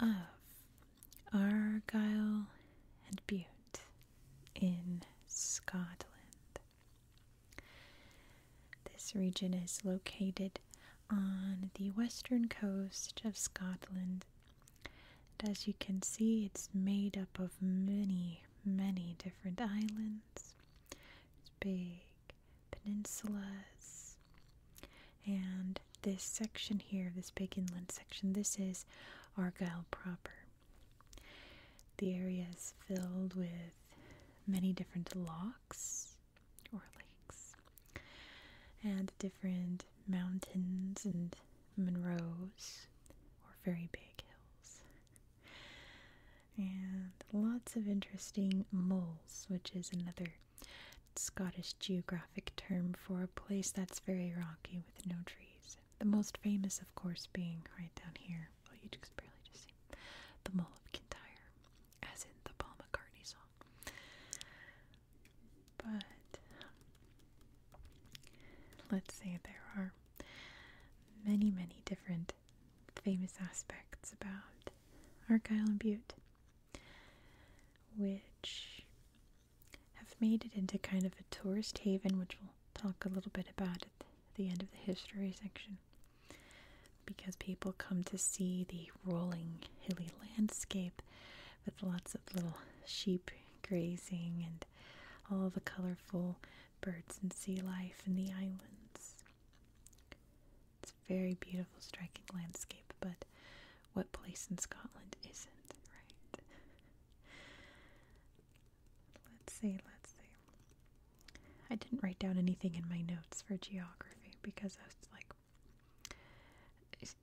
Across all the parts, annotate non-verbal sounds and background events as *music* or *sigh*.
of Argyll and Bute in Scotland. This region is located on the western coast of Scotland. as you can see, it's made up of many, many different islands. It's big peninsulas. And this section here, this big inland section, this is Argyll proper. The area is filled with many different lochs or lakes and different mountains and Monroes or very big hills. And lots of interesting moles, which is another Scottish geographic term for a place that's very rocky with no trees. The most famous, of course, being right down here. Well, you can barely just see the Mall of Kintyre, as in the Paul McCartney song. But let's say there are many, many different famous aspects about Argyll and Butte which have made it into kind of a tourist haven, which we'll talk a little bit about at the end of the history section. Because people come to see the rolling hilly landscape with lots of little sheep grazing and all the colorful birds and sea life in the islands very beautiful, striking landscape, but what place in Scotland isn't, right? Let's see, let's see. I didn't write down anything in my notes for geography because I was like, there's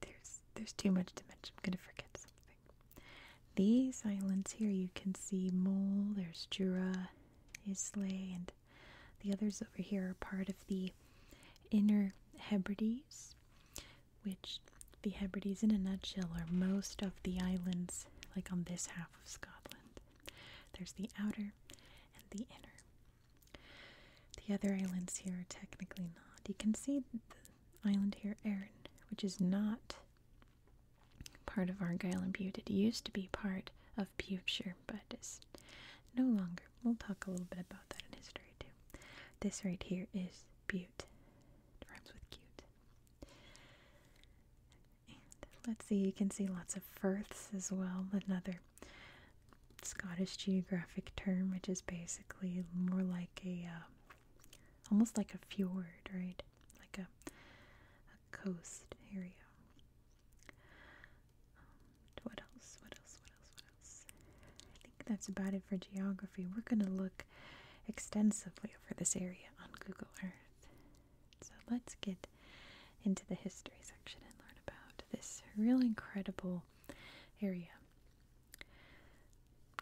there's too much to mention. I'm gonna forget something. These islands here, you can see Mole, there's Jura, Islay, and the others over here are part of the Inner Hebrides, which the Hebrides, in a nutshell, are most of the islands like on this half of Scotland. There's the outer and the inner. The other islands here are technically not. You can see the island here, Erin, which is not part of Argyll and Bute. It used to be part of Buteshire, but is no longer. We'll talk a little bit about that in history too. This right here is Butte. rhymes with cute. let's see, you can see lots of firths as well. Another Scottish geographic term, which is basically more like a, um, almost like a fjord, right? Like a coast area what else? What else? What else? What else? I think that's about it for geography. We're going to look extensively over this area on Google Earth. So let's get into the history section and learn about this really incredible area.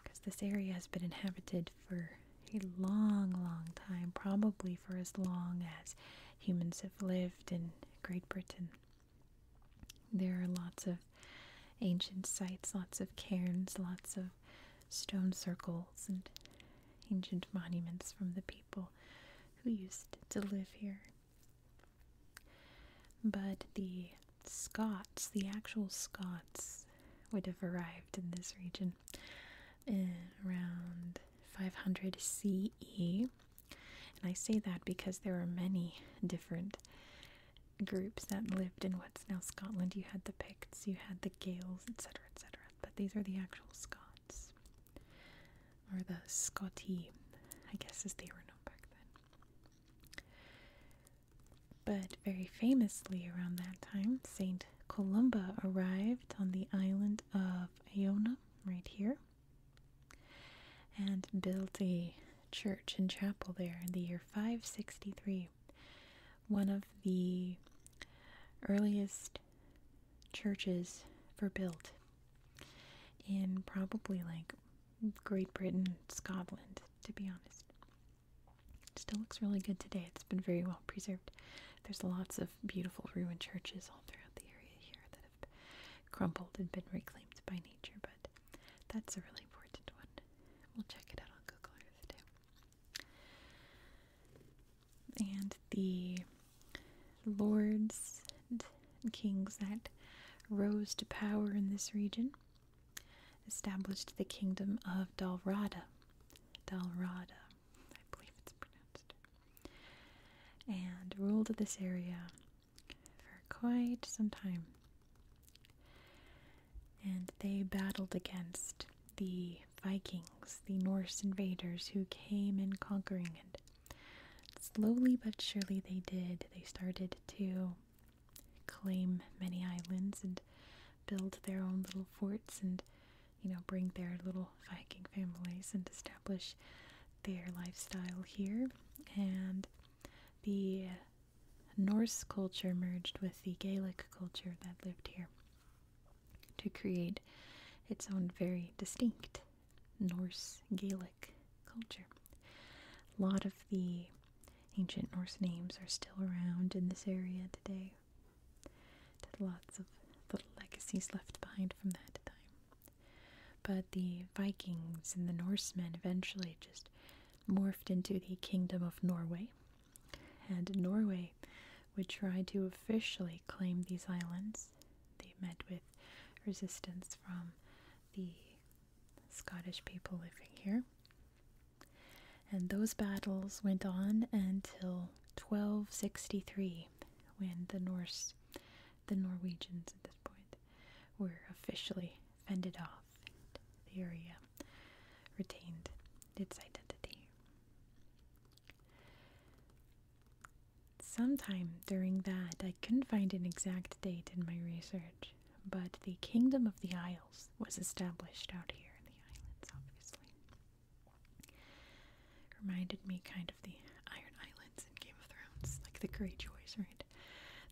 Because this area has been inhabited for a long, long time, probably for as long as humans have lived in Great Britain. There are lots of ancient sites, lots of cairns, lots of stone circles, and ancient monuments from the people who used to live here. But the Scots, the actual Scots, would have arrived in this region eh, around 500 CE and I say that because there were many different groups that lived in what's now Scotland. You had the Picts, you had the Gaels, etc., etc., but these are the actual Scots. Or the Scotti, I guess, as they were known back then. But very famously around that time, St. Columba arrived on the island of Iona, right here, and built a church and chapel there in the year 563. One of the earliest churches for built in probably like Great Britain, Scotland, to be honest. still looks really good today. It's been very well preserved. There's lots of beautiful ruined churches all throughout the area here that have crumbled and been reclaimed by nature, but that's a really important one. We'll check it out on Google Earth too. And the lords and kings that rose to power in this region established the kingdom of Dalrada. Dalrada, I believe it's pronounced and ruled this area for quite some time. And they battled against the Vikings, the Norse invaders who came in conquering and slowly but surely they did. They started to claim many islands and build their own little forts and you know bring their little Viking families and establish their lifestyle here, and the Norse culture merged with the Gaelic culture that lived here to create its own very distinct Norse Gaelic culture. A lot of the ancient Norse names are still around in this area today. There's lots of little legacies left behind from that time. But the Vikings and the Norsemen eventually just morphed into the Kingdom of Norway, and Norway would try to officially claim these islands. They met with resistance from the Scottish people living here. And those battles went on until 1263 when the Norse the Norwegians at this point were officially fended off and the area retained its identity. Sometime during that, I couldn't find an exact date in my research, but the Kingdom of the Isles was established out here in the islands, obviously. Reminded me kind of the Iron Islands in Game of Thrones, like the Greyjoys, right?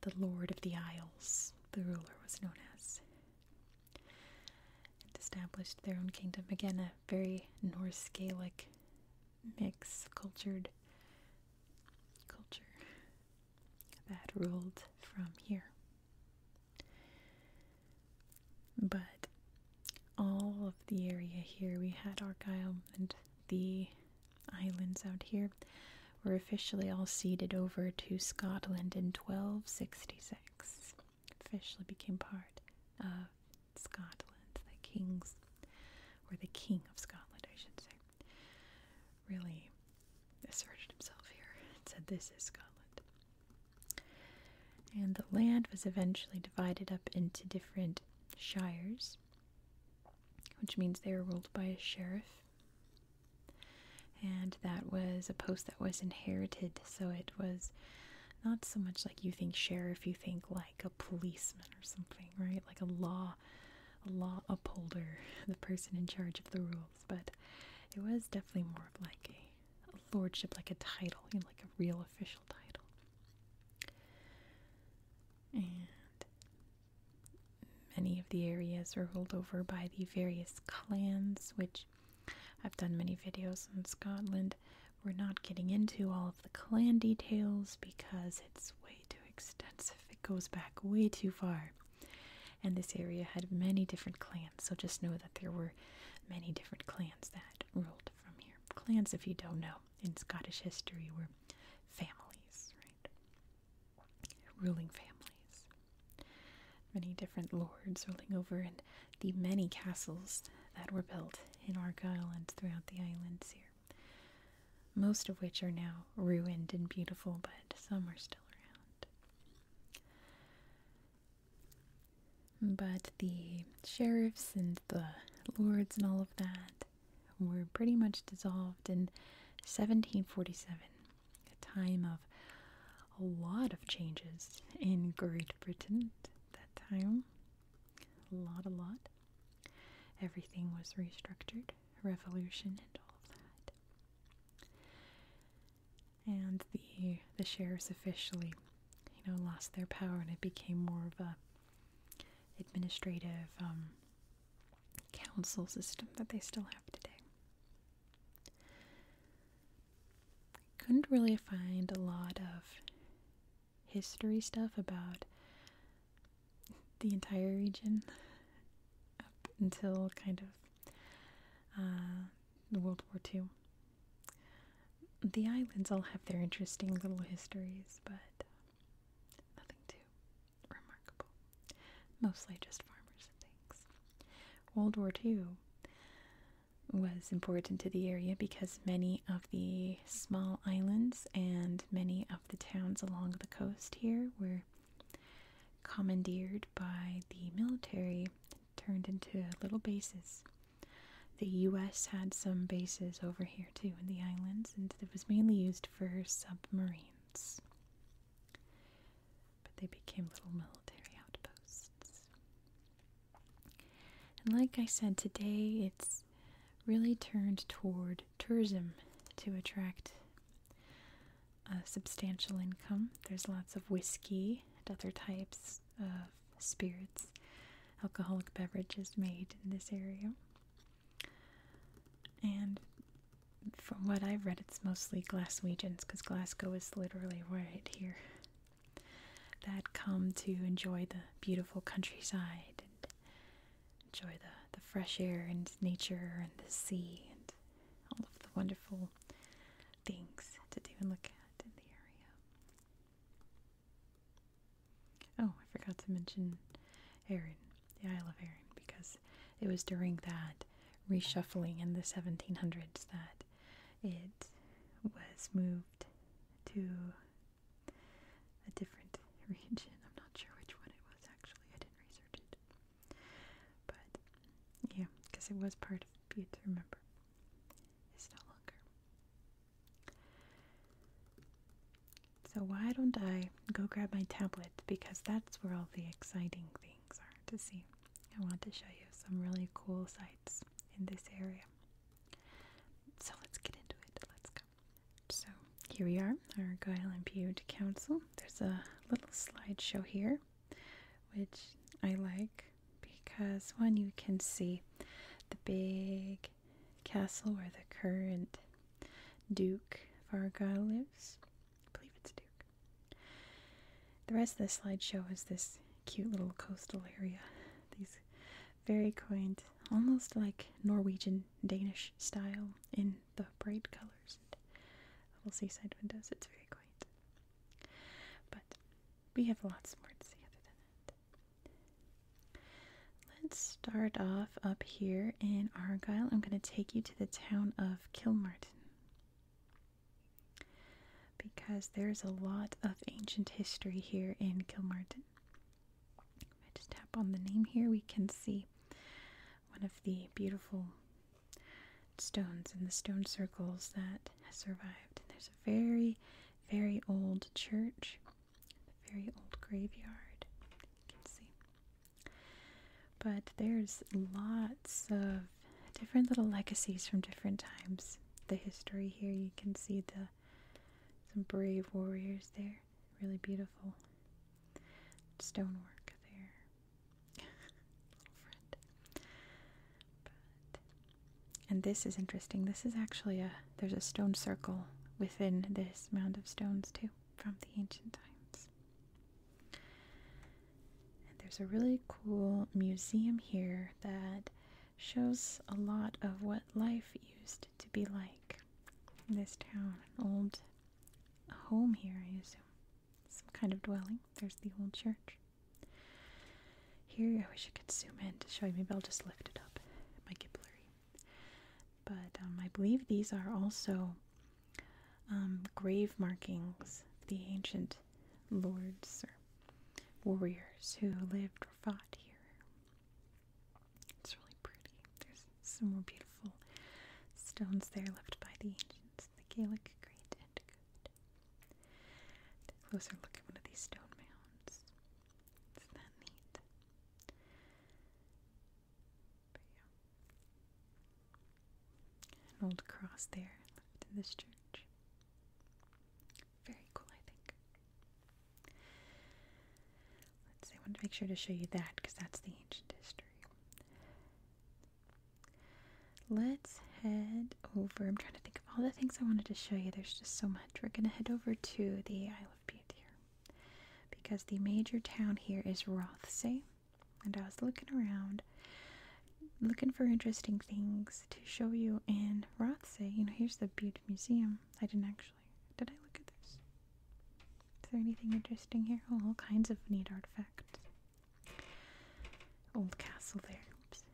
The Lord of the Isles, the ruler was known as. established their own kingdom. Again, a very Norse Gaelic mix, cultured culture that ruled from here. But all of the area here. We had Argyle and the islands out here were officially all ceded over to Scotland in 1266. Officially became part of Scotland, the king's, or the king of Scotland, I should say. Really asserted himself here and said, This is Scotland. And the land was eventually divided up into different shires, which means they were ruled by a sheriff. And that was a post that was inherited, so it was not so much like you think sheriff, you think like a policeman or something, right? Like a law law upholder, *laughs* the person in charge of the rules, but it was definitely more of like a, a lordship, like a title, you know, like a real official title. And many of the areas are ruled over by the various clans, which I've done many videos on Scotland. We're not getting into all of the clan details because it's way too extensive. It goes back way too far. And this area had many different clans, so just know that there were many different clans that ruled from here. Clans, if you don't know, in Scottish history were families, right? Ruling families. Many different lords ruling over, the many castles that were built in Argyll and throughout the islands here. Most of which are now ruined and beautiful, but some are still around. But the sheriffs and the lords and all of that were pretty much dissolved in 1747, a time of a lot of changes in Great Britain at that time. A lot, a lot. Everything was restructured, revolution and all of that. And the the sheriffs officially, you know, lost their power and it became more of a administrative um, council system that they still have today. couldn't really find a lot of history stuff about the entire region up until kind of the uh, World War II. The islands all have their interesting little histories, but nothing too remarkable. Mostly just farmers and things. World War II was important to the area because many of the small islands and many of the towns along the coast here were commandeered by the military and turned into little bases the US had some bases over here too in the islands, and it was mainly used for submarines. But they became little military outposts. And like I said, today it's really turned toward tourism to attract a substantial income. There's lots of whiskey and other types of spirits, alcoholic beverages made in this area. And from what I've read, it's mostly Glaswegians because Glasgow is literally right here that come to enjoy the beautiful countryside and enjoy the, the fresh air and nature and the sea and all of the wonderful things to do and look at in the area. Oh, I forgot to mention Erin, the Isle of Erin, because it was during that reshuffling in the 1700s that it was moved to a different *laughs* region. I'm not sure which one it was actually, I didn't research it. But yeah, because it was part of Butte, remember. It's no longer. So, why don't I go grab my tablet? Because that's where all the exciting things are to see. I want to show you some really cool sites in this area. So, let's get into it. Let's go. So, here we are, Argyle and Butte Council. There's a little slideshow here, which I like because one you can see the big castle where the current Duke of Varga lives. I believe it's Duke. The rest of the slideshow is this cute little coastal area. These very quaint, almost like Norwegian Danish style in the bright colors and little seaside windows. It's very quaint. But we have lots more to see other than that. Let's start off up here in Argyll. I'm going to take you to the town of Kilmartin because there's a lot of ancient history here in Kilmartin. If I just tap on the name here, we can see one of the beautiful stones and the stone circles that has survived. And there's a very very old church, very old graveyard. You can see. But there's lots of different little legacies from different times. The history here, you can see the some brave warriors there. Really beautiful stonework there. *laughs* And this is interesting. This is actually a there's a stone circle within this mound of stones too from the ancient times. And there's a really cool museum here that shows a lot of what life used to be like in this town. An old home here, I assume. Some kind of dwelling. There's the old church. Here, I wish I could zoom in to show you. Maybe I'll just lift it up. It might get blurry. But um, I believe these are also um, grave markings the ancient lords or warriors who lived or fought here. It's really pretty. There's some more beautiful stones there left by the ancients, the Gaelic great and good a closer look at one of these stone mounds. is that neat? But yeah. An old cross there left in this church. Very cool, I think. Let's I want to make sure to show you that because that's the ancient history. Let's head over. I'm trying to think of all the things I wanted to show you. There's just so much. We're going to head over to the Isle of Beauty because the major town here is Rothsay. And I was looking around, looking for interesting things to show you in Rothsay. You know, here's the Butte Museum. I didn't actually. Did I look at this? Is there anything interesting here? Oh, all kinds of neat artifacts. Old castle there. Oops.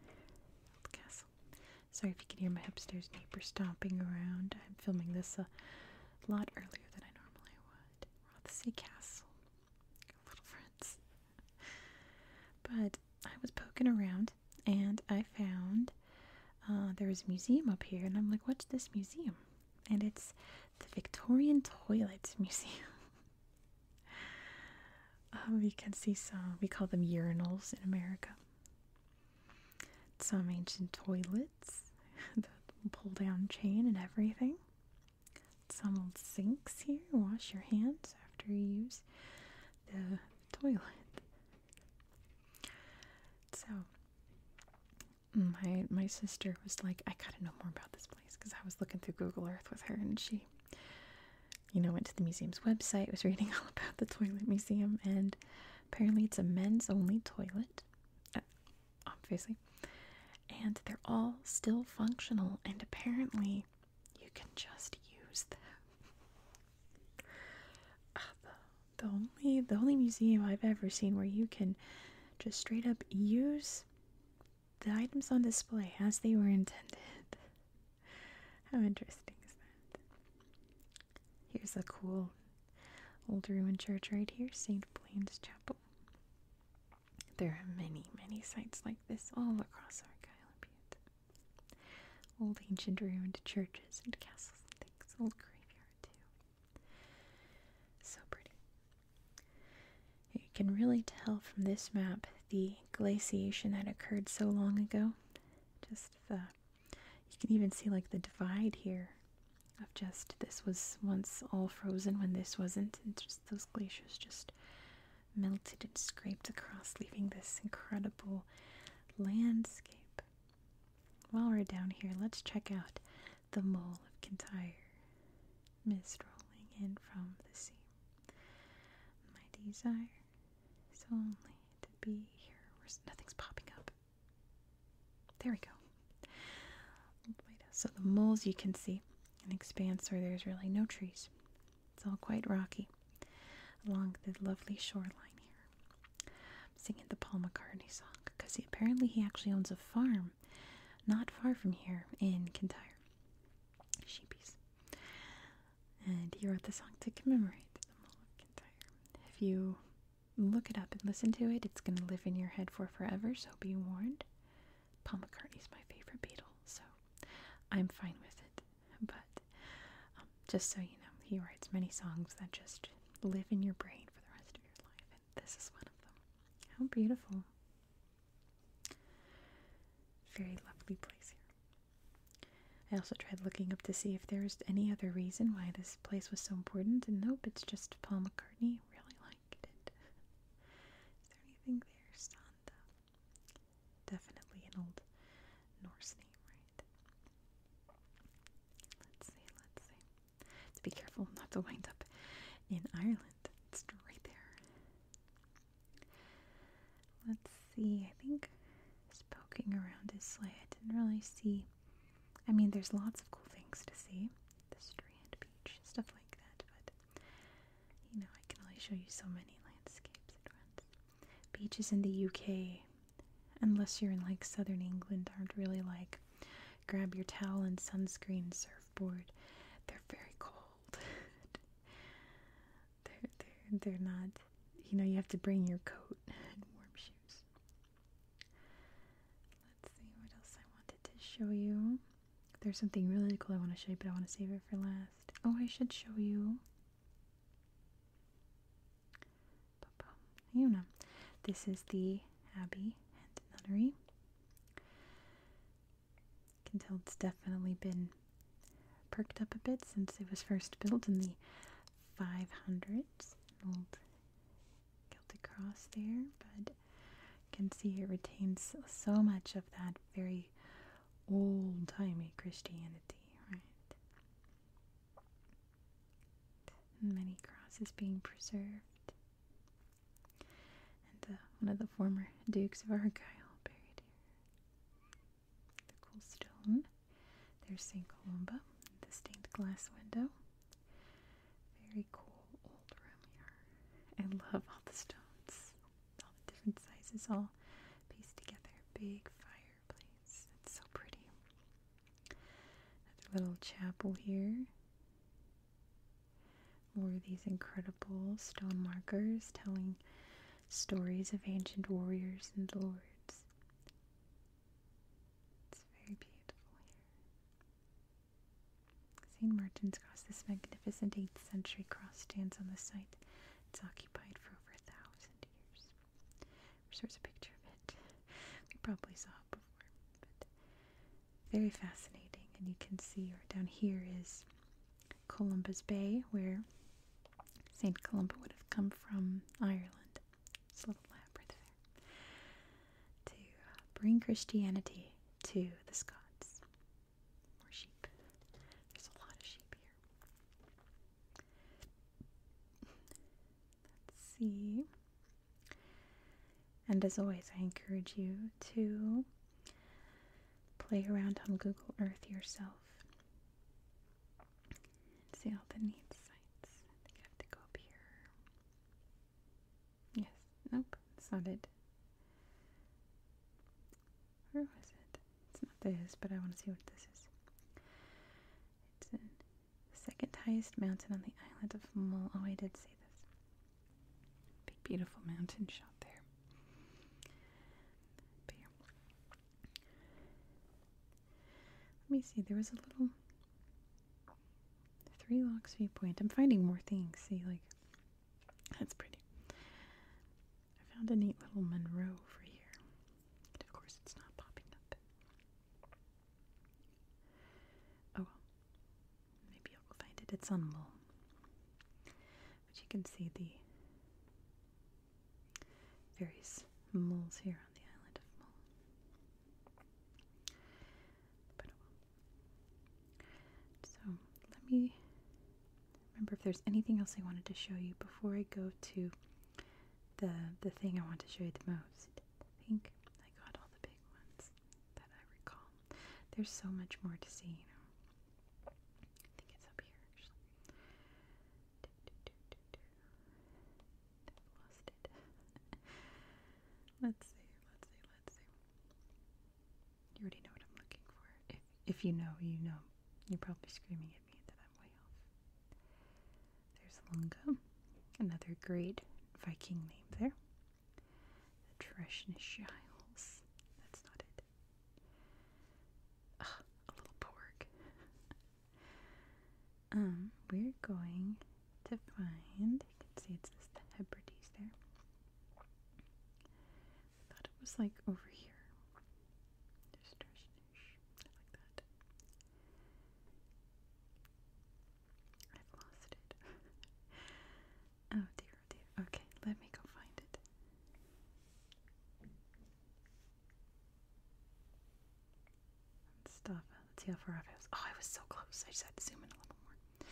Old castle. Sorry if you can hear my upstairs neighbor stomping around. I'm filming this a lot earlier than I normally would. Rothsay castle. Little friends. But I was poking around and I found uh, there's a museum up here, and I'm like, what's this museum? And it's the Victorian toilets Museum. *laughs* Um, we can see some, we call them urinals in America. Some ancient toilets, *laughs* the pull down chain and everything. Some old sinks here. Wash your hands after you use the toilet. So, my my sister was like, I gotta know more about this place because I was looking through Google Earth with her, and she you know, went to the museum's website, was reading *laughs* all about the toilet museum, and apparently it's a men's only toilet, uh, obviously. And they're all still functional, and apparently you can just use them. *laughs* Ah, the only the only museum I've ever seen where you can just straight up use the items on display as they were intended. How interesting is that? Here's a cool old ruined church right here, St. Blaine's Chapel. There are many, many sites like this all across our island. Old ancient ruined churches and castles and things, old graveyard too. So pretty. You can really tell from this map the glaciation that occurred so long ago. Just the you can even see like the divide here of just this was once all frozen when this wasn't, and just those glaciers just melted and scraped across, leaving this incredible landscape. While we're down here, let's check out the Mole of Kintyre, mist rolling in from the sea. My desire it's only to be here where nothing's popping up. There we go. So the moles you can see an expanse where there's really no trees. It's all quite rocky along the lovely shoreline here. I'm singing the Paul McCartney song because apparently he actually owns a farm not far from here in Kintyre. Sheepies and he wrote the song to commemorate the Mulkintyre. If you look it up and listen to it, it's going to live in your head for forever, so be warned. Paul McCartney's my favorite Beatle, so I'm fine with it. But um, just so you know, he writes many songs that just live in your brain for the rest of your life, and this is one of them. How beautiful! Very lovely place here. I also tried looking up to see if there's any other reason why this place was so important, and nope, it's just Paul McCartney. Really liked it. *laughs* Is there anything there? Santa. Definitely an old Norse name, right? Let's see, let's see. To be careful not to wind up in Ireland. It's right there. Let's see, I think poking around his I didn't really see. I mean, there's lots of cool things to see the Strand Beach, stuff like that, but you know, I can only show you so many landscapes at once. Beaches in the UK, unless you're in like southern England, aren't really like grab your towel and sunscreen surfboard. They're very cold *laughs* they're they're they're not. You know, you have to bring your coat *laughs* and warm shoes. Let's see what else I wanted to show you. There's something really cool I want to show you, but I want to save it for last. Oh, I should show you. You know, this is the abbey and nunnery can tell it's definitely been perked up a bit since it was first built in the 500s. An old Celtic cross there, but you can see it retains so much of that very old-timey Christianity, right? many crosses being preserved. And uh, one of the former Dukes of Argyle buried here the cool stone. There's St. Columba, the stained glass window. Very cool old room here. I love all the stones, all the different sizes, all pieced together. Big fireplace. It's so pretty. Another little chapel here. More of these incredible stone markers telling stories of ancient warriors and lords. It's very beautiful here. St. Martin's Cross, this magnificent 8th century cross, stands on the site. It's occupied for over a thousand years. Wish a picture of it. We probably saw it before, but very fascinating. And you can see, or down here is Columbus Bay, where St. Columba would have come from Ireland. It's a little lab right there. To bring Christianity to the Scots. More sheep. There's a lot of sheep here. Let's see. And as always, I encourage you to Play around on Google Earth yourself and see all the neat sites. I think I have to go up here. Yes, nope, that's not it. Where was it? It's not this, but I want to see what this is. It's the second highest mountain on the island of Mull. Oh, I did see this. Big, beautiful mountain shot there. Let me see, there was a little three locks viewpoint. I'm finding more things, see, like, that's pretty. I found a neat little Monroe over here. of course, it's not popping up. Oh well. Maybe I'll find it. It's on Mull. But you can see the various moles here on the island of Mull. So let me remember if there's anything else I wanted to show you before I go to the the thing I want to show you the most. I think I got all the big ones that I recall. There's so much more to see, you know. I think it's up here lost it. *laughs* let's see, let's see, let's see. You already know what I'm looking for. If you know, you know. You're probably screaming at me that I'm way off. There's Lunga, another great Viking name there. The That's not it a little pork. um, we're going to find. You can see it's the Hebrides there. I thought it was like over here. I've lost it. *laughs* Oh dear, oh dear. Okay, let me go find it. Stop. Let's see how far off I was. Oh, I was so close. I just had to zoom in a little more.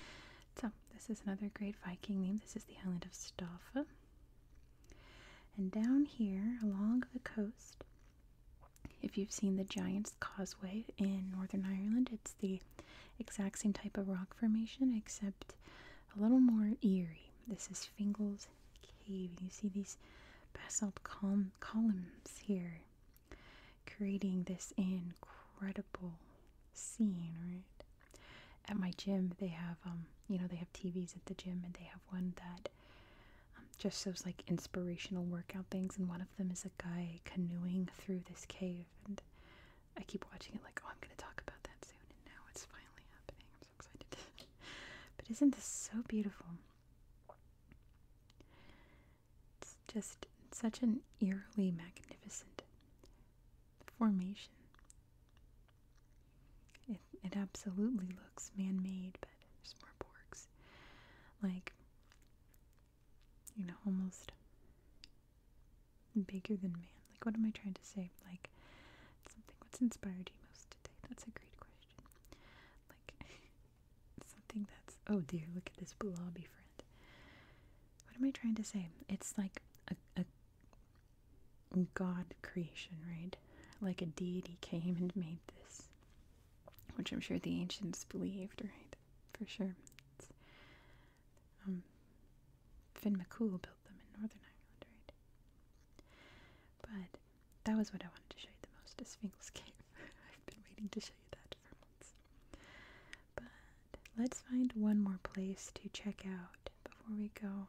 So, this is another great Viking name. This is the island of Staffa. And down here along the coast, if you've seen the Giant's Causeway in Northern Ireland, it's the exact same type of rock formation except a little more eerie. This is Fingal's Cave. You see these basalt columns here creating this incredible scene, right? At my gym, they have, um, you know, they have TVs at the gym and they have one that um, just shows like inspirational workout things. And one of them is a guy canoeing through this cave. I keep watching it like, oh, I'm going to talk about that soon, and now it's finally happening. I'm so excited. *laughs* but isn't this so beautiful? It's just such an eerily magnificent formation. It, it absolutely looks man made, but there's more borgs. Like, you know, almost bigger than man? Like, what am I trying to say? Like, something, what's inspired you most today? That's a great question. Like, *laughs* something that's, oh dear, look at this blobby friend. What am I trying to say? It's like a, a God creation, right? Like a deity came and made this, which I'm sure the ancients believed, right? For sure. Um, Finn McCool built them in Northern Ireland, right? But that was what I wanted to show you the most, is Fingal's Cave. *laughs* I've been waiting to show you that for months. But let's find one more place to check out before we go.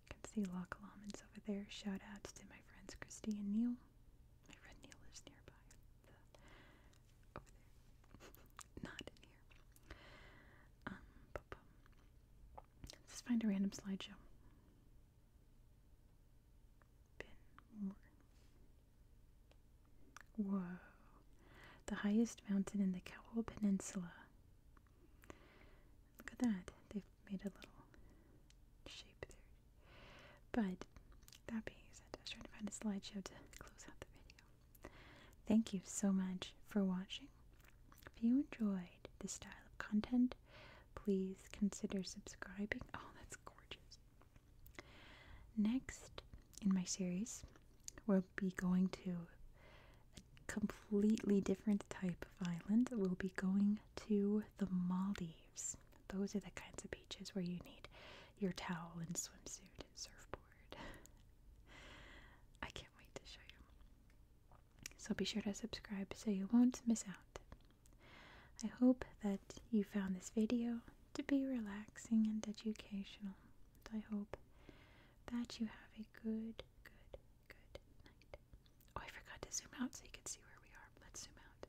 I can see Loch Lomond's over there. Shout outs to my friends Christy and Neil. My friend Neil is nearby. *laughs* Um, Let's find a random slideshow. Ben The highest mountain in the Cowal Peninsula. Look at that. They've made a little shape there. But that being said, I was trying to find a slideshow to close out the video. Thank you so much for watching. If you enjoyed this style of content, please consider subscribing. Oh, that's gorgeous. Next in my series, we'll be going to a completely different type of island. We'll be going to the Maldives. Those are the kinds of beaches where you need your towel and swimsuit surfboard. *laughs* I can't wait to show you. So be sure to subscribe so you won't miss out. I hope that you found this video to be relaxing and educational. I hope that you have a good, good, good night. Oh, I forgot to zoom out so you can see where we are. Let's zoom out.